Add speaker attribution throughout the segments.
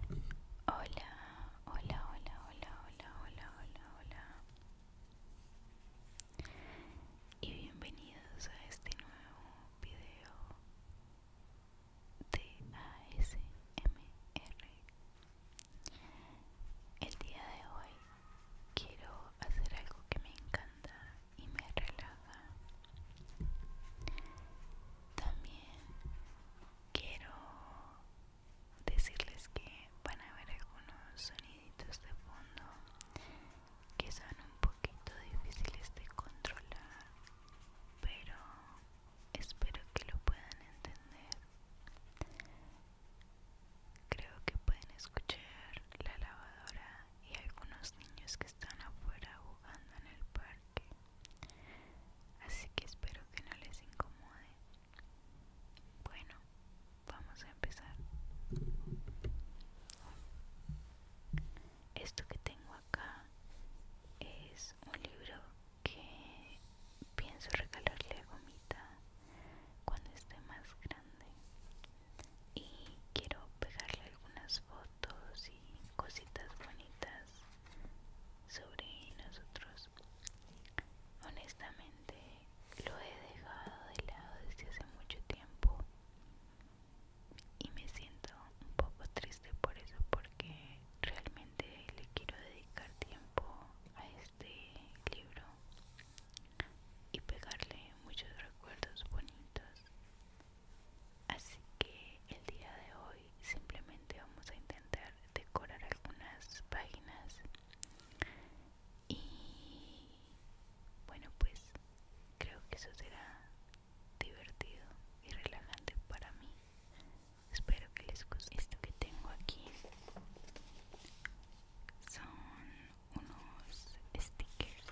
Speaker 1: Hola, hola, hola, hola, hola, hola, hola, hola. Y bienvenidos a este nuevo video de ASMR. El día de hoy quiero hacer algo que me encanta y me relaja. También quiero decirles que van a ver algunos soniditos de fondo que son un poquito difíciles de controlar pero espero que lo puedan entender creo que pueden escuchar la lavadora y algunos niños que están afuera jugando en el parque así que espero que no les incomode bueno vamos a empezar esto que tengo acá es un libro que pienso regalarle a gomita cuando esté más grande y quiero pegarle algunas fotos y cositas bonitas sobre nosotros. Honestamente, lo he dejado de lado desde hace mucho tiempo y me siento un poco triste por eso porque realmente le quiero dedicar tiempo a este libro y pegarle muchos recuerdos bonitos así que el día de hoy simplemente vamos a intentar decorar algunas páginas y bueno pues creo que eso será divertido y relajante para mí espero que les guste esto que tengo aquí son unos stickers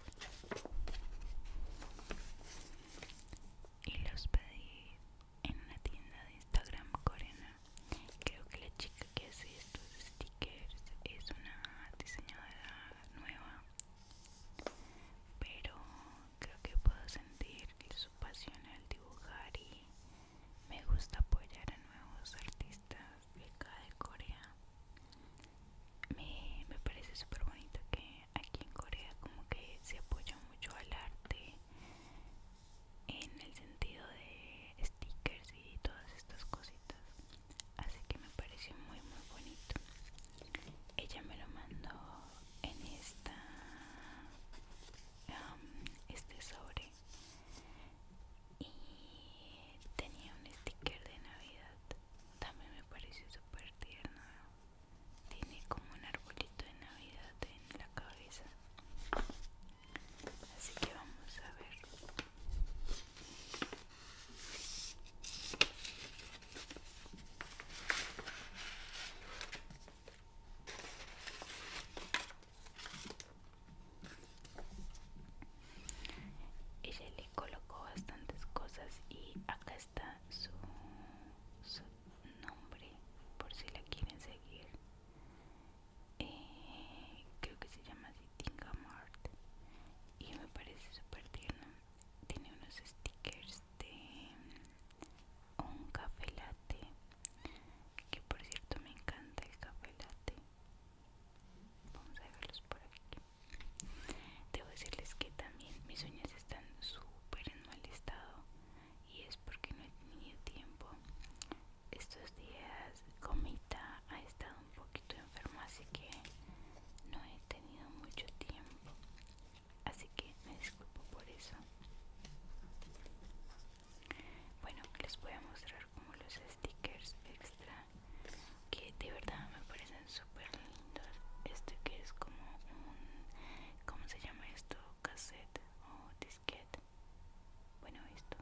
Speaker 1: y los pedí en una tienda de Instagram coreana. Creo que la chica que hace estos stickers es una diseñadora nueva, pero creo que puedo sentir su pasión al dibujar y me gusta apoyar a nuevos artistas de acá de Corea. Me, me parece súper bonito que aquí en Corea como que se apoya mucho al arte en el sentido de stickers y todas estas cositas así que me pareció muy muy bonito ella me lo mandó en esta este sobre y tenía un sticker de navidad también me pareció súper tierno tiene como un arbolito de Navidad en la cabeza. Así que vamos a ver. Ella le colocó bastantes cosas y acá está su, nombre por si la quieren seguir eh, creo que se llama así Mart y me parece súper tierno tiene unos stickers de mm, un café latte que por cierto me encanta el café latte vamos a verlos por aquí debo decirles que también mis uñas están súper en mal estado y es porque no he tenido tiempo. Estos días Comita ha estado un poquito enferma, así que no he tenido mucho tiempo. Así que me disculpo por eso. Bueno, les voy a mostrar como los stickers extra que de verdad me parecen súper lindos. Este que es como un... ¿Cómo se llama esto? cassette o disquete bueno esto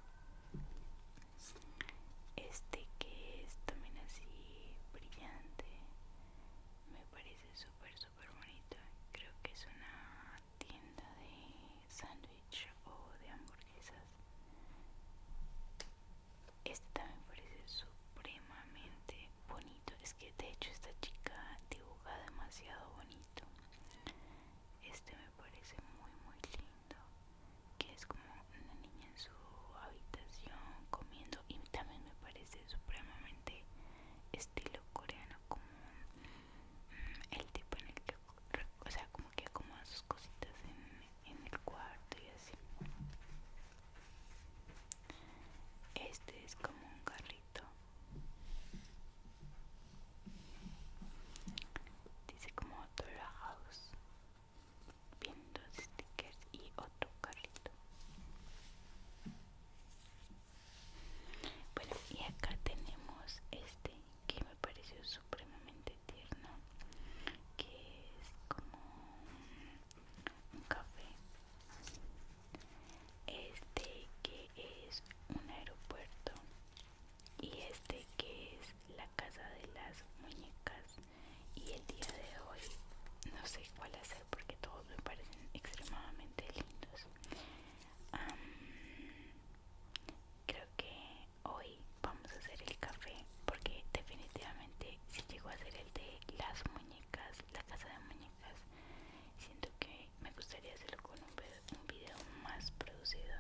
Speaker 1: este que es también así brillante me parece súper súper bonito creo que es una tienda de sándwich o de hamburguesas este también parece supremamente bonito es que de hecho esta chica dibuja demasiado bonito este me parece muy muy lindo, que es como una niña en su habitación comiendo y también me parece supremamente estilo coreano, como mm, el tipo en el que, o sea, como que acomoda sus cositas en el cuarto y así. Este es como un carrito Dice como Dora House. Viendo stickers y otro carrito. Bueno, y acá tenemos este que me pareció supremamente tierno. Que es como un café este que es un aeropuerto y este que es la casa de las muñecas y el día de hoy no sé cuál hacer porque todos me parecen extremadamente lindos creo que hoy vamos a hacer el café porque definitivamente si llego a hacer el de las muñecas la casa de muñecas siento que me gustaría hacerlo con un, video más producido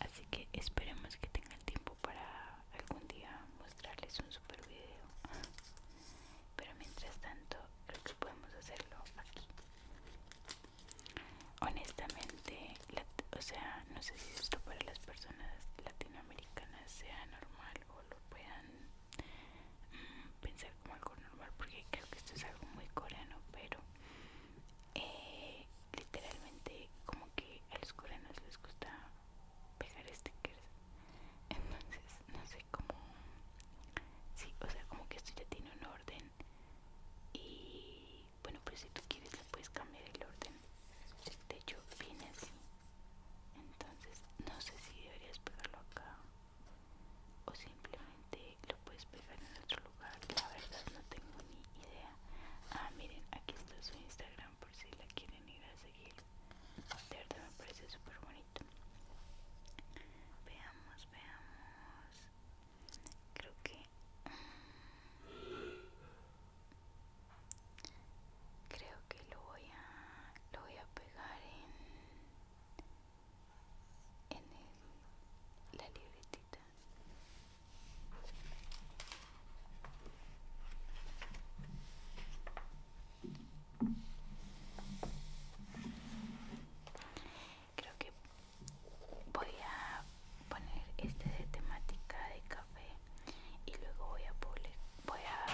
Speaker 1: así que esperemos que tenga tiempo para algún día mostrarles un super video pero mientras tanto creo que podemos hacerlo aquí honestamente o sea no sé si esto para las personas latinoamericanas sea normal o lo puedan mm, pensar como algo normal porque creo que esto es algo muy coreano pero eh, literalmente como que a los coreanos les gusta pegar stickers entonces no sé cómo sí o sea como que esto ya tiene un orden y bueno pues si tú quieres le puedes cambiar el orden de hecho viene así entonces no sé si deberías pegarlo acá o simplemente lo puedes pegar en otro lugar la verdad no tengo ni idea ah miren aquí está su instagram por si la quieren ir a seguir de verdad me parece súper bonito veamos veamos creo que mm, creo que lo voy a lo voy a pegar en en la libretita creo que voy a poner este de temática de café y luego voy a poner voy a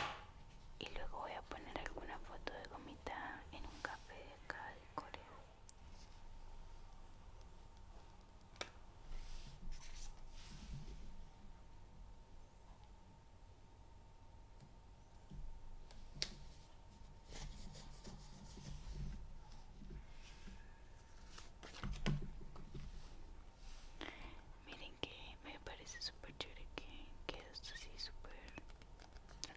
Speaker 1: y luego voy a poner alguna foto de gomita en un café de acá de Corea Miren que me parece súper chévere que, que esto sí súper...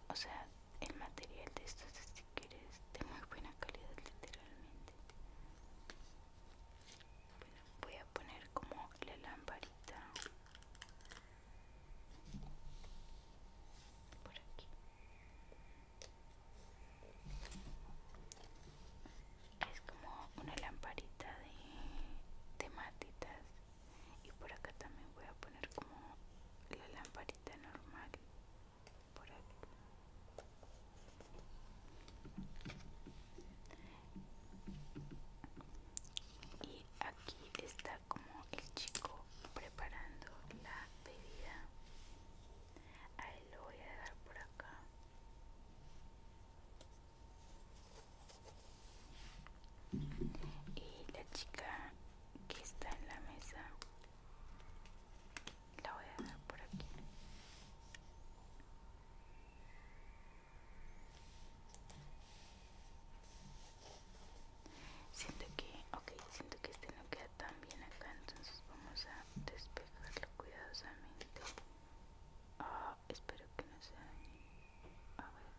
Speaker 1: O sea, el material de estos es si quieres de muy buena calidad literalmente bueno, voy a poner como la lamparita por aquí es como una lamparita de matitas y por acá también voy a poner como la lamparita normal por y aquí está como el chico preparando la bebida a lo voy a dar por acá y la chica que está en la mesa la voy a dejar por aquí siento que ok siento que este no queda tan bien acá entonces vamos a despejarlo cuidadosamente ah, espero que no sea a ver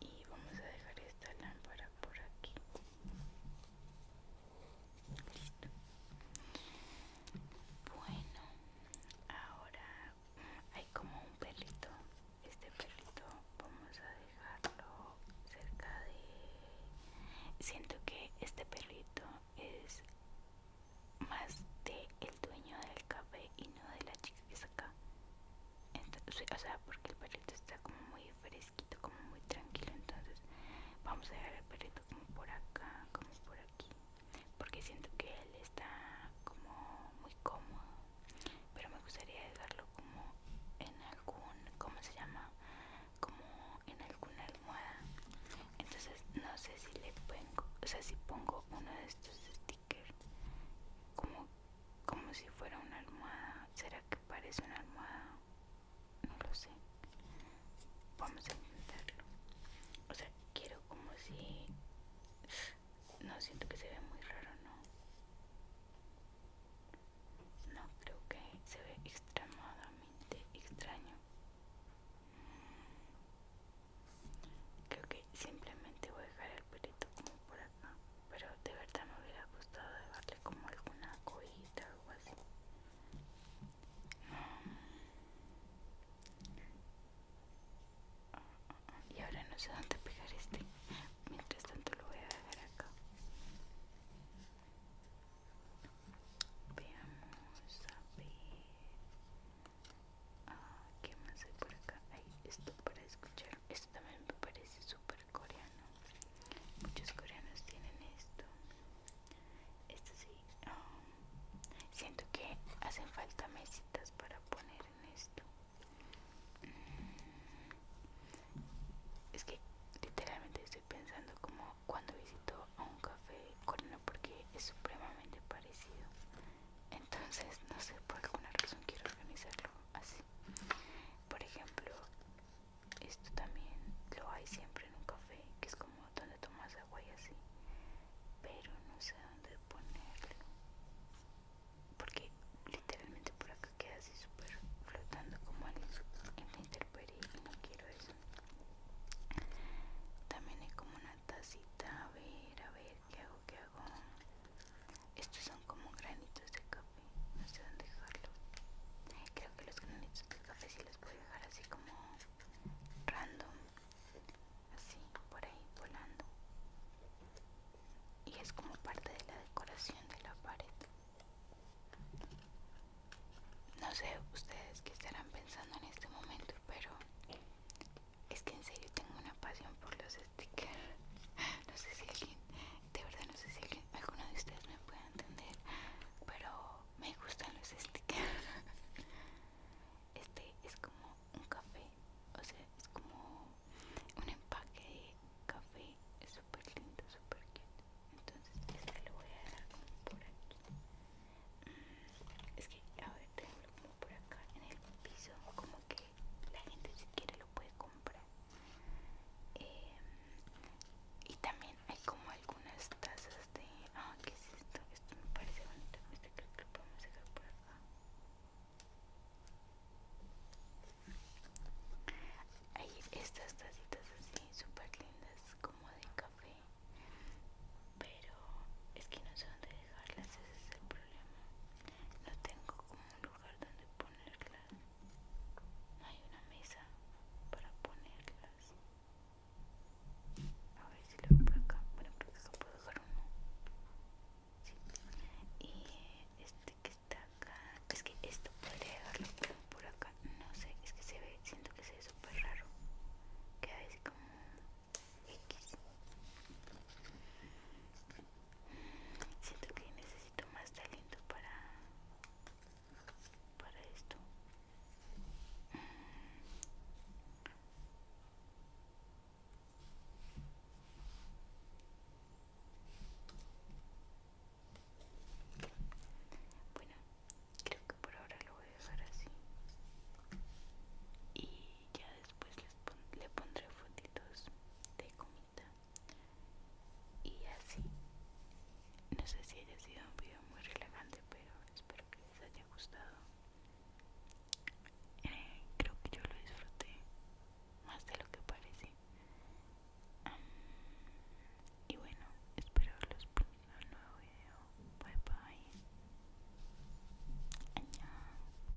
Speaker 1: y vamos a dejar esta lámpara por aquí. Bueno, ahora hay como un perrito. Este perrito vamos a dejarlo cerca de... Siento que este perrito es más de el dueño del café y no de la chica que es acá. Entonces, o sea, porque el perrito está como muy fresquito, como muy tranquilo. Entonces, vamos a dejar el perrito como por acá, como por aquí. Porque siento que él está como muy cómodo. Pero me gustaría dejarlo como en algún, ¿cómo se llama? Como en alguna almohada. Entonces, no sé si le pongo, o sea, si pongo uno de estos como, como si fuera una almohada será que parece una almohada no lo sé vamos a intentarlo o sea quiero como si no siento que se ve muy raro no no creo que se ve extremadamente extraño Creo que simplemente voy a dejar el pelito como por acá. Pero de verdad me hubiera gustado dejarle como alguna cojita o algo así. Mm. Y ahora no sé dónde pegar este. Mientras tanto lo voy a dejar acá. Veamos a ver. Ah, ¿Qué más hay por acá? Hay esto para escuchar. Esto también me parece súper coreano. Muchos coreanos tienen esto. Esto sí. Um, siento que hacen falta mesitas para poner en esto. Mm, es que literalmente estoy pensando como cuando visito a un café coreano porque es supremamente parecido entonces no sé por alguna razón quiero organizarlo así por ejemplo esto también lo hay siempre en un café que es como donde tomas agua y así pero no sé dónde ponerlo porque literalmente por acá queda así súper flotando como en, en la y no quiero eso también hay como una tacita a ver a ver ¿qué hago? ¿qué hago? Estos son como granitos de café, no sé dónde dejarlos. Creo que los granitos de café sí los puedo dejar así como random, así por ahí volando. Y es como parte de la decoración de la pared. No sé ustedes qué estarán pensando en este momento, pero es que en serio tengo una pasión por los stickers. No sé si alguien, de verdad no sé si alguien, alguno de ustedes me puede entender, pero me gustan los stickers. Este es como un café, o sea, es como un empaque de café, es súper lindo, súper cute. Entonces este lo voy a dejar como por aquí. Mm, es que a ver, tengo como por acá en el piso, como que la gente si quiere lo puede comprar em, y también hay como algunas tazas de ah qué es esto esto me parece bonito este creo que lo podemos dejar por acá hay estas tacitas así súper lindas como de café pero es que no sé dónde dejarlas ese es el problema no tengo como un lugar donde ponerlas. No hay una mesa para ponerlas. A ver si lo hago por acá. Bueno, que pues acá puedo dejar uno. Sí. Y este que está acá. Es que esto podría dejarlo por acá. No sé, es que se ve, siento que se ve súper raro. Queda así como Siento que necesito más talento para para esto. Bueno, creo que por ahora lo voy a dejar así. Y ya después le pondré fotitos de comida y así no sé si haya sido un video muy relajante pero espero que les haya gustado eh, creo que yo lo disfruté más de lo que parece y bueno espero los en un nuevo video bye bye